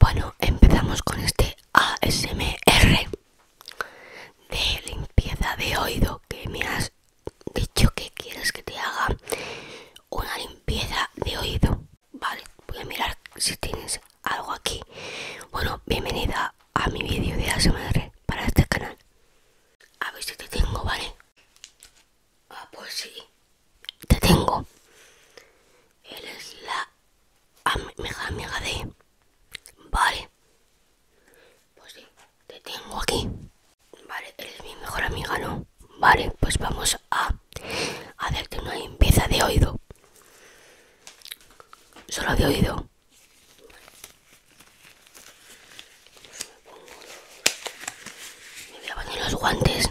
Bueno, empezamos con este ASMR de limpieza de oído que me has dicho que quieres que te haga una limpieza de oído. Vale, voy a mirar si tienes algo aquí. Bueno, bienvenida a mi vídeo de ASMR para este canal. A ver si te tengo, ¿vale? Ah, pues sí. Te tengo. Él es la mejor amiga de... Vale. Pues sí, te tengo aquí. Vale, eres mi mejor amiga, ¿no? Vale, pues vamos a hacerte una limpieza de oído. Solo de oído. Me voy a poner los guantes.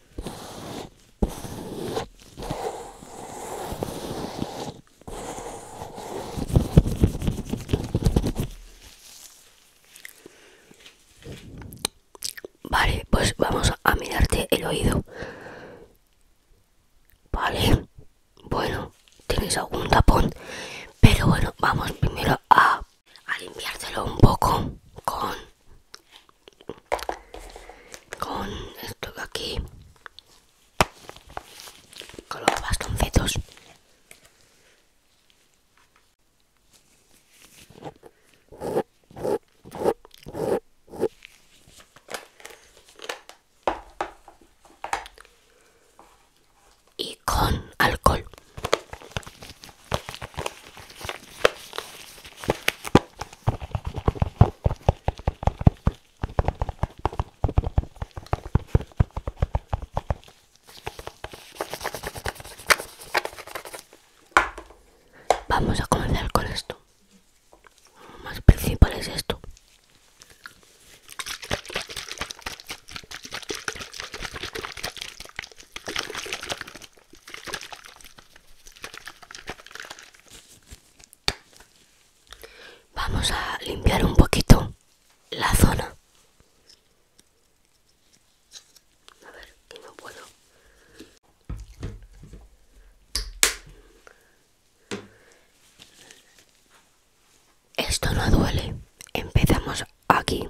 Vale, pues vamos a mirarte el oído. Vale, bueno, tienes algún tapón. Pero bueno, vamos primero a, a limpiártelo un poco con con esto de aquí con los bastoncitos y con alcohol Vamos a comenzar con esto. Lo más principal es esto. Vamos a limpiar un poquito la zona. Esto no duele. Empezamos aquí.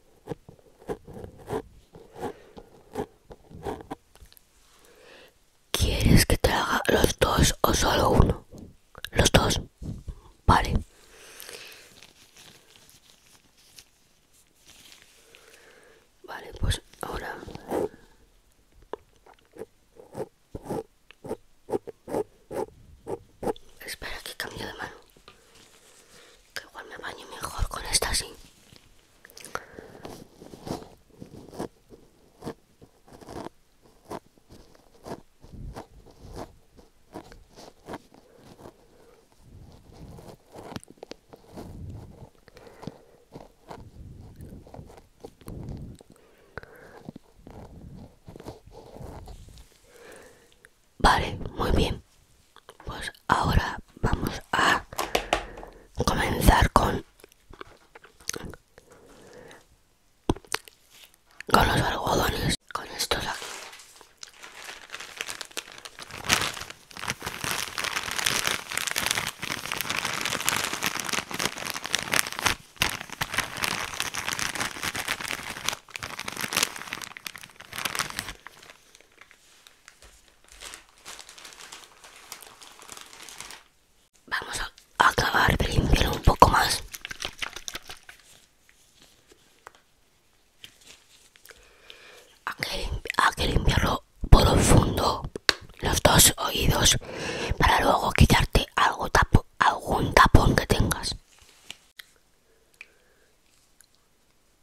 ¿Quieres que te haga los dos o solo uno? Los dos. Vale. Vale, pues ahora... Espera que cambio de mano que igual me baño mejor con esta así. Vale, muy bien. Pues ahora vamos a comenzar con con los algodones, con estos aquí. Vamos a acabar de limpiar un poco más. Hay que limpiarlo profundo los dos oídos para luego quitarte algún tapón que tengas.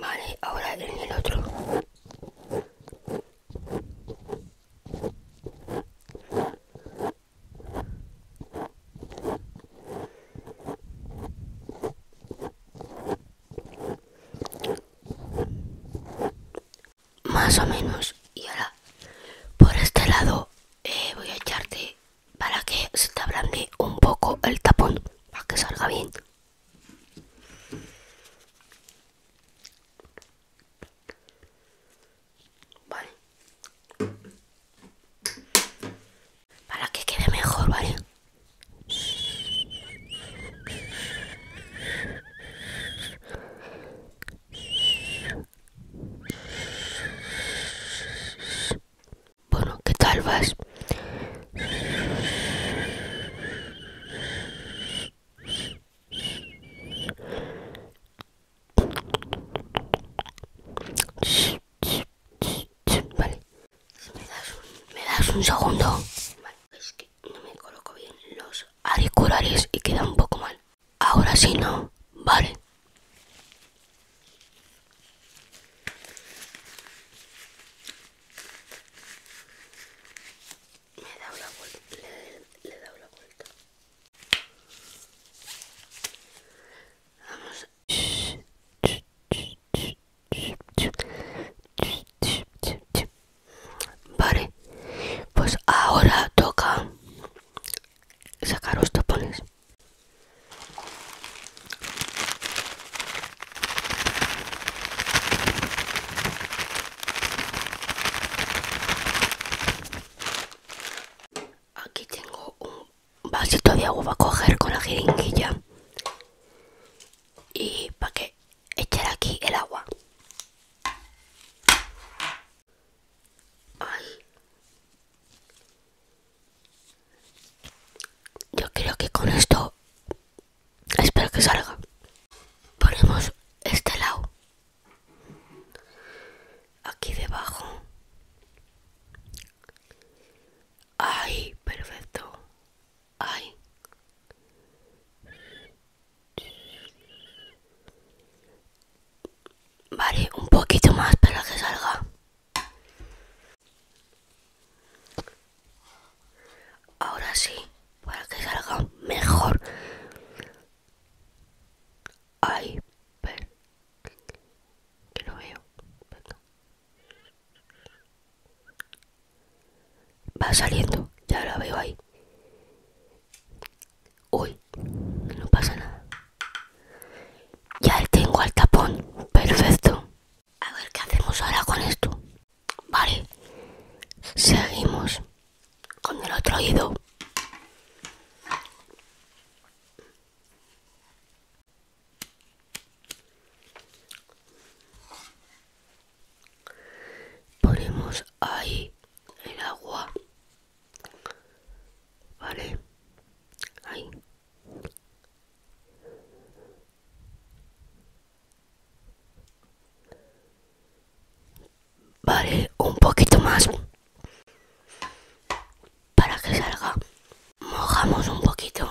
Vale, ahora en el otro. Más o menos. Y ahora, por este lado, eh, voy a echarte para que se te ablande un poco el tapón para que salga bien para que quede mejor vale bueno, ¿qué tal vas? Vale. ¿Me das un, segundo? Vale, es que no me coloco bien los auriculares y queda un poco mal. Ahora sí no, vale. Me da una vuelta, le, he da una vuelta. Vamos. Vale, pues ahora toca sacar los tapones. Aquí tengo un vasito de agua para coger con la jeringuilla y para que echar aquí el agua. Yo creo que con esto espero que salga. Ponemos este lado. Aquí debajo. Ay, perfecto. Ay. Vale, un poquito más para que salga. Ahora sí, para que salga mejor. Ay, pero que lo veo. Va saliendo, ya lo veo ahí. Uy, no pasa nada. Ya tengo al tapón. Perfecto. A ver qué hacemos ahora con esto. Vale. Seguimos con el otro oído. Ponemos ahí el agua Vale. Vale, un poquito más. Para que salga. Mojamos un poquito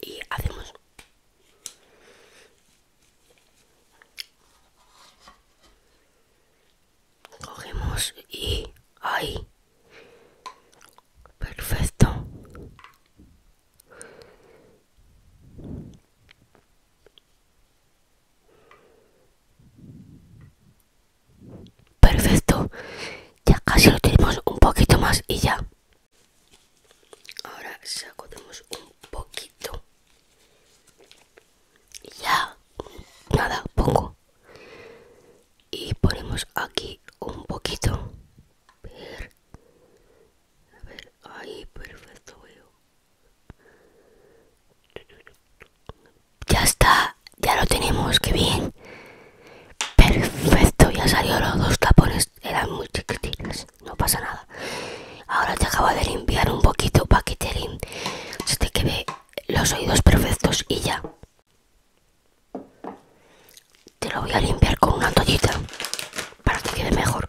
y hacemos cogemos y ahí perfecto perfecto ya casi lo tenemos un poquito más y ya ahora sacudimos un poquito ya nada pongo y ponemos aquí un poquito a ver, ahí perfecto veo ya está ya lo tenemos que bien perfecto ya salió los dos tapones eran muy chiquititas no pasa nada ahora te acabo de limpiar un poquito para que te, se te quede los oídos perfectos y ya te lo voy a limpiar con una toallita para que quede mejor.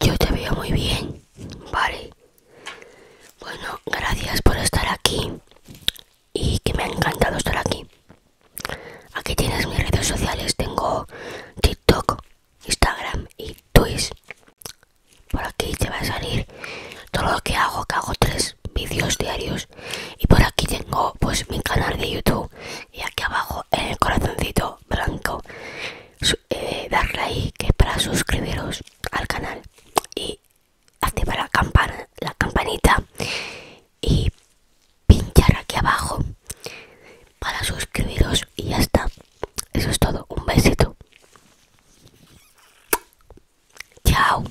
Yo te veo muy bien, vale. Bueno, gracias por estar aquí y que me ha encantado estar aquí. Aquí tienes mis redes sociales, tengo TikTok, Instagram y Twitch. Por aquí te va a salir todo lo que hago, que hago tres vídeos diarios y por aquí tengo pues mi canal de YouTube y aquí abajo en el corazoncito blanco eh, darle ahí que para suscribiros al canal y activar la campana la campanita y pinchar aquí abajo para suscribiros y ya está eso es todo un besito chao